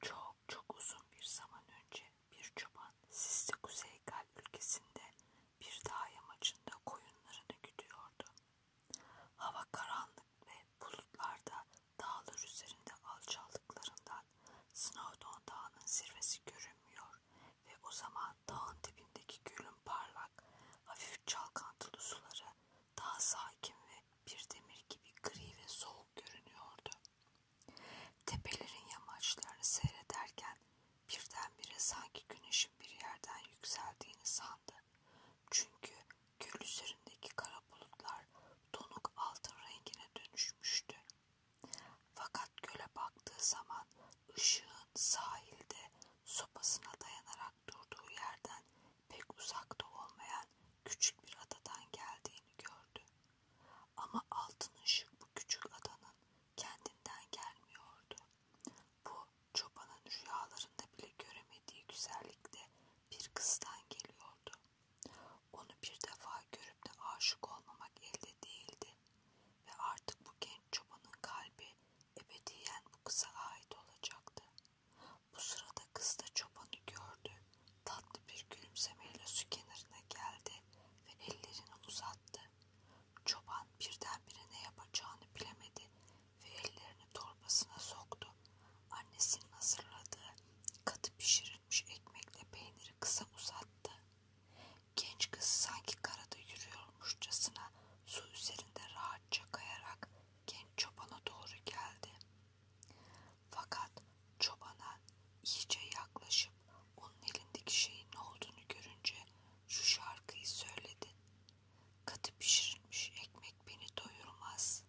Çok çok uzun bir zaman önce bir çoban Sisli Kuzey Gal ülkesinde bir dağ yamacında koyunlarını güdüyordu. Hava karanlık ve bulutlarda dağlar üzerinde alçaldıklarından Snowdon Dağı'nın zirvesi görünmüyor ve o zaman dağın dibindeki gölün parlak, hafif çalkantılı suları daha sakin ve bir demir gibi gri ve soğuk görünüyordu. Tepelerin yamaçlarını seyrederken birdenbire sanki güneşin bir yerden yükseldiğini sandı. Çünkü göl üzerindeki kara bulutlar donuk altın rengine dönüşmüştü. Fakat göle baktığı zaman ışığın sahilde sopasına dayanarak durduğu yerden pek uzakta olmayan küçük bir adadan geldiğini gördü. Ama altın ışık bu küçük adanın kendinden gelmiyordu. Bu çobanın rüyalarında bile göremediği güzellikte bir kızdan geliyordu. Onu bir defa görüp de aşık olmamak elde değildi ve artık bu genç çobanın kalbi ebediyen bu kıza ait olacaktı. Bu sırada kız da çobanı gördü. Tatlı bir gülümsemeyle su kenarına geldi ve ellerini uzattı. Çoban birdenbire ne yapacağını bilemedi ve ellerini torbasına soktu. Annesinin hazırladığı katı pişirilmiş ekmekle peyniri kısa uzattı. Genç kız sanki karada yürüyormuşçasına su üzerinde rahatça kayarak genç çobana doğru geldi. Fakat çobana iyice yaklaşıp onun elindeki şeyin ne olduğunu görünce şu şarkıyı söyledi. Katı pişirilmiş ekmek beni doyurmaz.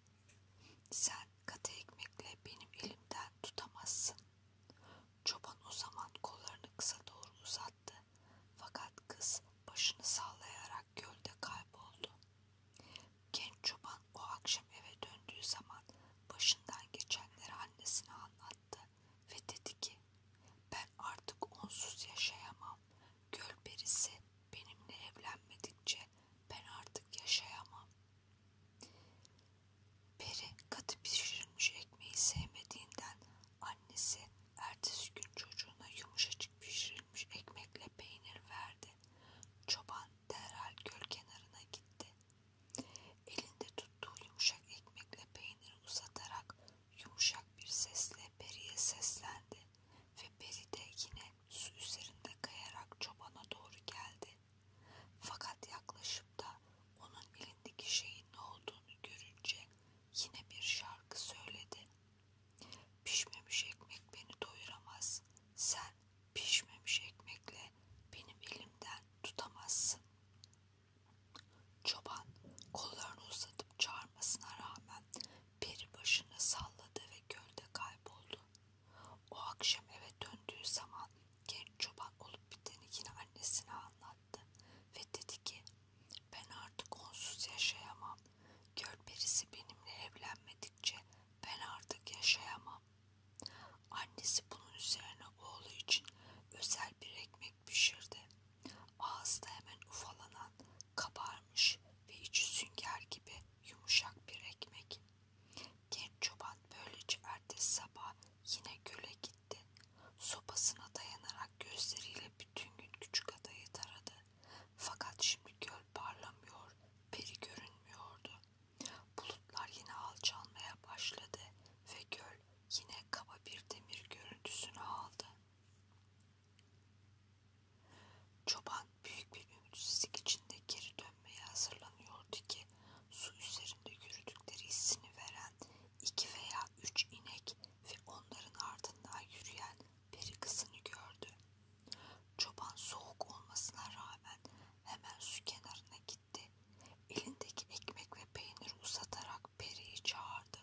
Sen katı ekmekle benim elimden tutamazsın. Çoban o zaman kollarını kısa doğru uzattı. Fakat kız başını sallayarak olarak gölde kayboldu. Genç çoban o akşam eve döndüğü zaman başından geçenleri annesine anlattı ve dedi ki ben artık onsuz yaşayamam. Göl perisi benimle evlenmedikçe ben artık yaşayamam. Peri katı pişirilmiş ekmeği sevmediğinden Annesi ertesi gün çocuğuna yumuşacık pişirilmiş ekmekle peynir verdi. Çoban derhal göl kenarına gitti. Elinde tuttuğu yumuşak ekmekle peyniri uzatarak yumuşak bir sesle Peri'ye seslendi ve Peri de yine su üzerinde kayarak çobana doğru geldi. Fakat yaklaşıp da onun elindeki şeyin ne olduğunu görünce yine bir şarkı söyledi. Pişmemiş ekmek beni doyuramaz. Sen pişmemiş ekmekle benim elimden tutamazsın. Çoban kollarını uzatıp çağırmasına rağmen peri başını salladı ve gölde kayboldu. O akşam eve döndüğü zaman genç çoban olup biteni yine annesine anlattı ve dedi ki ben artık onsuz yaşayamam. Göl perisi benimle evlenmedikçe ben artık yaşayamam. Annesi bunun üzerine oğlu için özel bir ekmek pişirdi. Ağızda hemen ufalanan, kabarmış ve içi sünger gibi yumuşak bir ekmek. Genç çoban böylece ertesi sabah yine göle gitti gitti. Sopasına dayanarak gözleriyle bütün gün küçük adayı taradı. Fakat şimdi göl parlamıyor, peri görünmüyordu. Bulutlar yine alçalmaya başladı ve göl yine kaba bir demir görüntüsünü aldı. Çoban büyük bir ümitsizlik içinde geri dönmeye hazırlanıyordu ki su üzerinde yürüdükleri hissini veren iki veya üç inek ve onların ardından yürüyen peri kızını gördü. Çoban soğuk olmasına rağmen hemen su kenarına gitti. Elindeki ekmek ve peyniri uzatarak periyi çağırdı.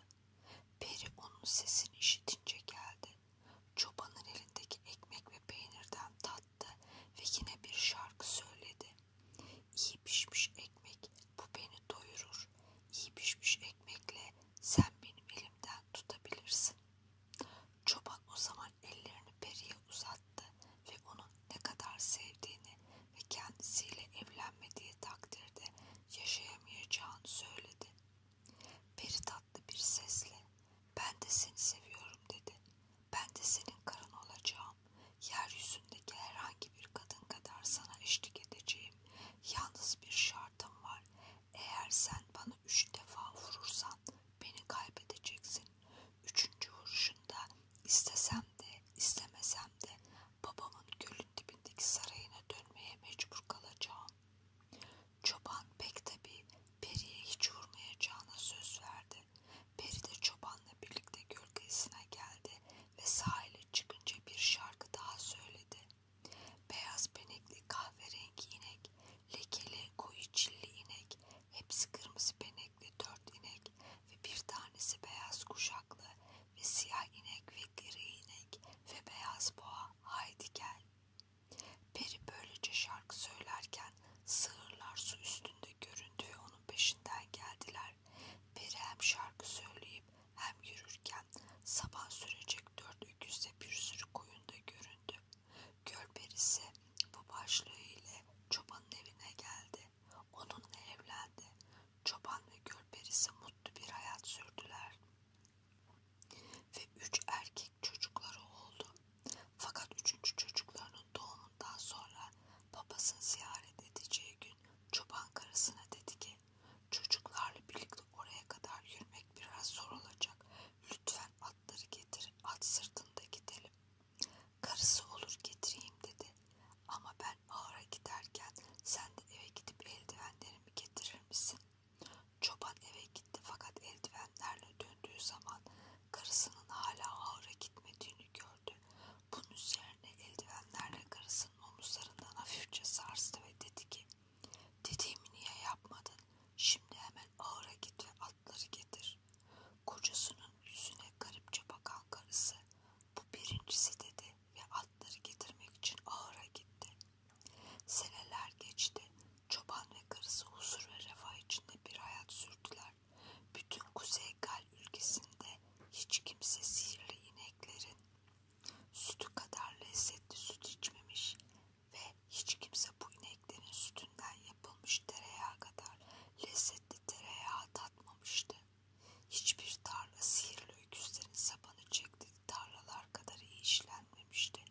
Peri onun sesini işitince geldi. Çobanın elindeki ekmek ve peynirden tattı ve yine bir şarkı söyledi. İyi pişmiş ekmek bu beni doyurur. İyi pişmiş ekmekle sen benim elimden tutabilirsin. Çoban o zaman ellerini periye uzattı ve onun ne kadar sevdiğini ve kendisiyle evlenmediği takdirde yaşayamayacağını söyledi. Peri tatlı bir sesle ben de seni seviyorum dedi. Ben de senin karın olacağım olacağım. Yeryüzündeki herhangi bir kadın kadar sana eşlik edeceğim. Yalnız bir şartım var. Eğer sen bana üç defa vurursan beni kaybedeceksin. Üçüncü vuruşunda istesem de istemesem de babamın gölün dibindeki sarayına dönmeye mecbur kalacağım. Çoban pek tabi Peri'ye hiç vurmayacağına söz verdi. Peri de çobanla birlikte gölgesine geldi ve sahile çıkınca bir şarkı daha söyledi. Beyaz benekli kahverengi inek, lekeli koyu çilli inek, hepsi kırmızı benekli dört inek ve bir tanesi beyaz kuşaklı ve siyah inek ve gri inek ve beyaz boğa haydi gel. Peri böylece şarkı söylerken sığırlar su üstünde göründü ve onun peşinden geldiler gider. Peri hem şarkı söyleyip hem yürürken sabah sürecek dört öküzle bir sürü koyunda göründü. Göl perisi bu başlığı ile çobanın evine geldi. Onunla evlendi. Çoban ve göl perisi mutlu bir hayat sürdüler. Ve üç erkek çocukları oldu. Fakat üçüncü çocuklarının Oğlunun doğumundan sonra babasını ziyaret edeceği gün çoban karısına dedi ki çocuklarla birlikte oraya kadar yürümek biraz zor olacak. Lütfen atları getir, at sırtında gidelim. Karısı olur getireyim dedi ama ben ağıra giderken sen de eve gidip eldivenlerimi getirir misin? Çoban eve gitti fakat eldivenlerle döndüğü zaman karısının hala ağıra gitmediğini gördü gördü. Bunun üzerine eldivenlerle karısının omuzlarından hafifçe sarstı ve dedi ki ''Dediğimi niye yapmadın? Şimdi hemen ağıra git ve atları getir.'' Kocasının yüzüne garipçe bakan karısı ''Bu birincisi'' dedi ve atları getirmek için ağıra gitti. Seneler geçti. Çoban ve karısı huzur ve refah içinde bir hayat sürdüler var. Bütün Kuzey Gal ülkesinde hiç kimse sihirli ineklerin sütü kadar lezzetli süt içmemiş ve hiç kimse bu ineklerin sütünden yapılmış tereyağı kadar lezzetli tereyağı tatmamıştı. Hiçbir tarla sihirli öküzlerin sapanı çektiği tarlalar kadar iyi işlenmemişti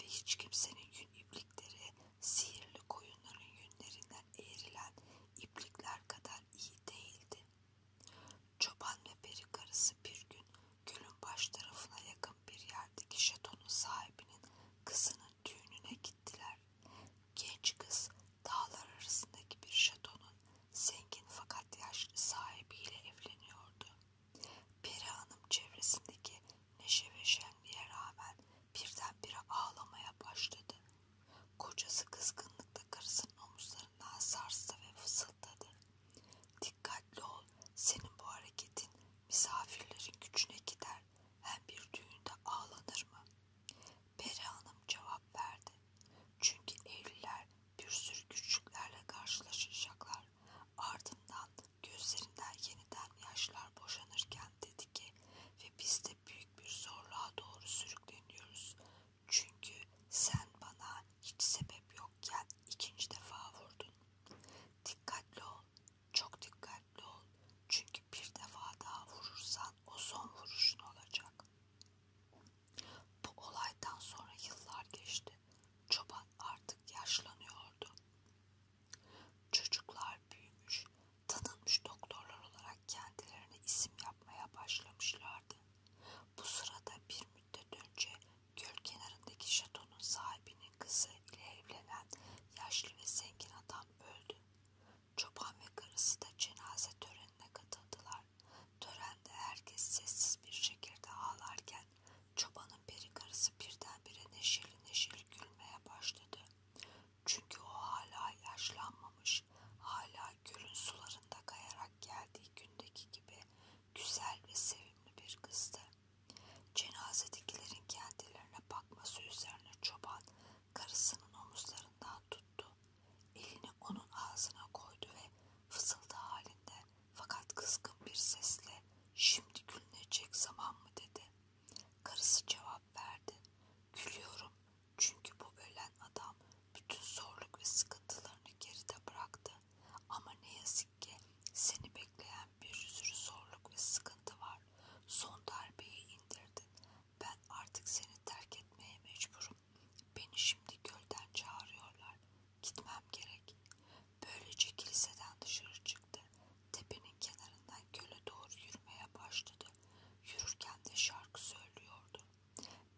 ve hiç kimsenin gün iblikleri sihirli koyunların yünlerinden eğrilen iplikler kadar iyi değildi. Çoban ve peri karısı bir gün gölün baş tarafına yakın bir yerdeki şatonun sahibinin kızının düğününe gittiler. Genç kız dağlar arasındaki bir şatonun zengin fakat yaşlı sahibiyle evleniyordu. Peri hanım çevresindeki neşe ve şenliğe rağmen birdenbire ağlamaya başladı. Kocası kızgınlıkla karısının omuzlarından sarstı ve fısıldadı. Dikkatli ol, senin bu hareketin misafirlerin gücüne gider. Hem bir düğünde ağlanır mı? Peri Hanım cevap verdi. Çünkü evliler bir sürü güçlüklerle karşılaşacaklar. Ardından Gözlerinden yeniden yaşlar boşanırken dedi ki ve biz de büyük bir zorluğa doğru sürükleniyoruz. Çünkü sen bana hiç sebep yokken ikinci defa vurdun. Dikkatli ol, çok dikkatli ol. Çünkü bir defa daha vurursan o son vuruşun olacak. Bu olaydan sonra yıllar geçti. Çoban artık yaşlanıyordu. Çocuklar büyümüş, tanınmış doktorlar olarak kendilerine isim yapmaya başlamışlardı. Bu sırada bir müddet önce göl kenarındaki şatonun sahibinin kızı ile evlenen yaşlı ve zengin adam öldü. Çoban ve karısı da cenaze törenine katıldılar. Törende herkes sessiz bir şekilde ağlarken Çobanın peri karısı birdenbire neşeli neşeli gülmeye başladı. Çünkü o hala yaşlanmamış, hala gölün sularında kayarak geldiği gündeki gibi güzel ve sevimli bir kızdı. Cenazedekilerin kendilerine bakması üzerine çoban karısının omuzlarından tuttu. Elini onun ağzına koydu ve fısıldı halinde fakat kızgın bir sesle şimdi gülünecek zaman mı dedi. Karısı cevap verdi. Gülüyorum çünkü bu ölen adam bütün zorluk ve sıkıntılarını geride bıraktı. Ama ne yazık ki seni bekleyen bir sürü zorluk ve sıkıntı var. Son darbeyi indirdin. Ben artık seni terk etmeye mecburum. Beni şimdi gölden çağırıyorlar. Gitmem gerek. Böylece kiliseden dışarı çıktı. Tepenin kenarından göle doğru yürümeye başladı. Yürürken de şarkı söylüyordu.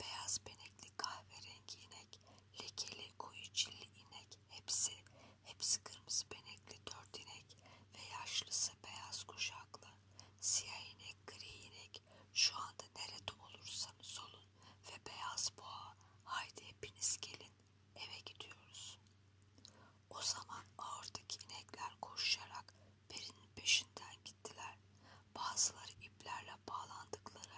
Beyaz benekli kahverengi inek, lekeli koyu cilli inek hepsi, hepsi kırmızı benekli dört inek ve yaşlısı beyaz kuşaklı. Siyah inek, gri inek şu anda nerede olursanız olun ve beyaz boğa haydi hepiniz gelin Eve gidiyoruz. O zaman ağırdaki inekler koşarak Peri'nin peşinden gittiler. Bazıları iplerle bağlandıkları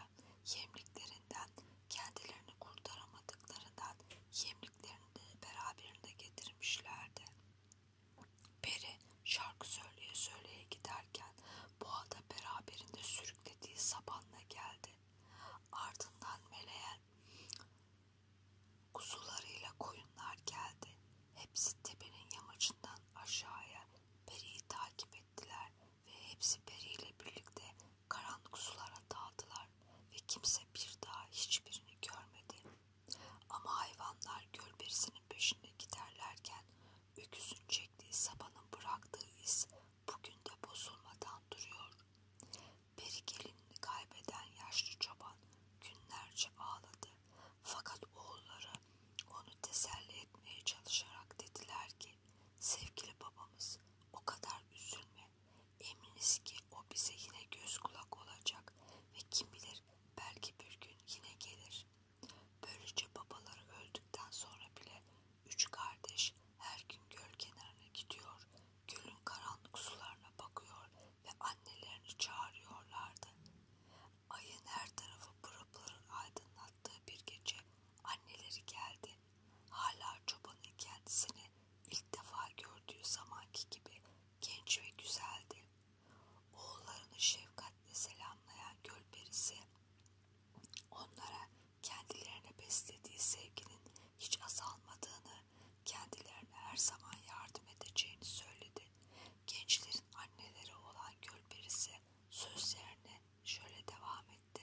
yemliklerinden, kendilerini kurtaramadıklarından yemliklerini beraberinde getirmişlerdi. Peri şarkı söyleye söyleye giderken boğada beraberinde sürüklediği sabanla geldi. Ardından meleğen kuzularıyla koyunlar geldi. Hepsi tepenin yamacından aşağıya Peri'yi takip ettiler ve hepsi Peri ile birlikte karanlık sulara dağıldılar ve kimse bir daha hiçbirini görmedi. Ama hayvanlar göl berisinin peşinde giderlerken öküzün çektiği sabanın bıraktığı iz bugün de bozulmadan duruyor. Peri gelinini kaybeden yaşlı çoban günlerce ağladı. Fakat oğulları onu teselli etmeye çalışarak dediler ki sevgili babamız o kadar üzülme. Eminiz ki o bize yine göz kulak olacak ve kim bilir belki bir gün yine gelir. Böylece babaları öldükten sonra bile üç kardeş her gün göl kenarına gidiyor, gölün karanlık sularına bakıyor ve annelerini çağırıyorlardı. Ayın her tarafı pırıpırın aydınlattığı bir gece anneleri geldi. Hala çobanın kendisini ilk defa gördüğü zamanki gibi genç ve güzeldi. Oğullarını şefkatle selamlayan göl perisi Onlara kendilerine beslediği sevginin hiç azalmadığını, kendilerine her zaman yardım edeceğini söyledi. Gençlerin anneleri olan Gölperisi sözlerine şöyle devam etti.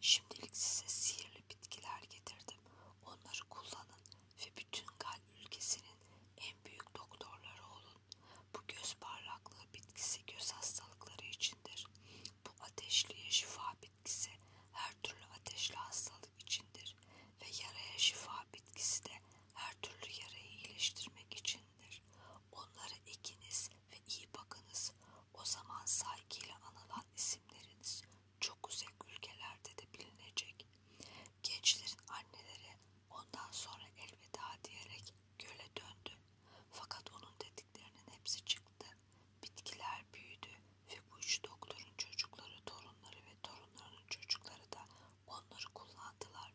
Şimdilik size sihirli bitkiler getirdim. Onları kullanın ve bütün Gal ülkesinin en büyük doktorları olun. Bu göz parlaklığı bitkisi göz hastalıkları içindir. Bu ateşliye şifa bitkisi her türlü ateşli hastalık içindir ve yaraya şifa bitkisi de her türlü yarayı iyileştirmek içindir. Onları ekiniz ve iyi bakınız. O zaman saygıyla anılan isimleriniz çok uzak ülkelerde de bilinecek. Gençlerin anneleri ondan sonra elveda diyerek Göle döndüm. Fakat onun dediklerinin hepsi çıktı. Bitkiler büyüdü ve bu üç doktorun çocukları, torunları ve torunlarının çocukları da onları kullandılar.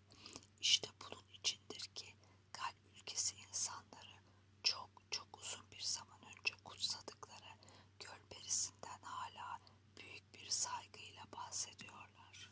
İşte bunun içindir ki kalp ülkesi insanları çok çok uzun bir zaman önce kutsadıkları göl perisinden hala büyük bir saygıyla bahsediyorlar.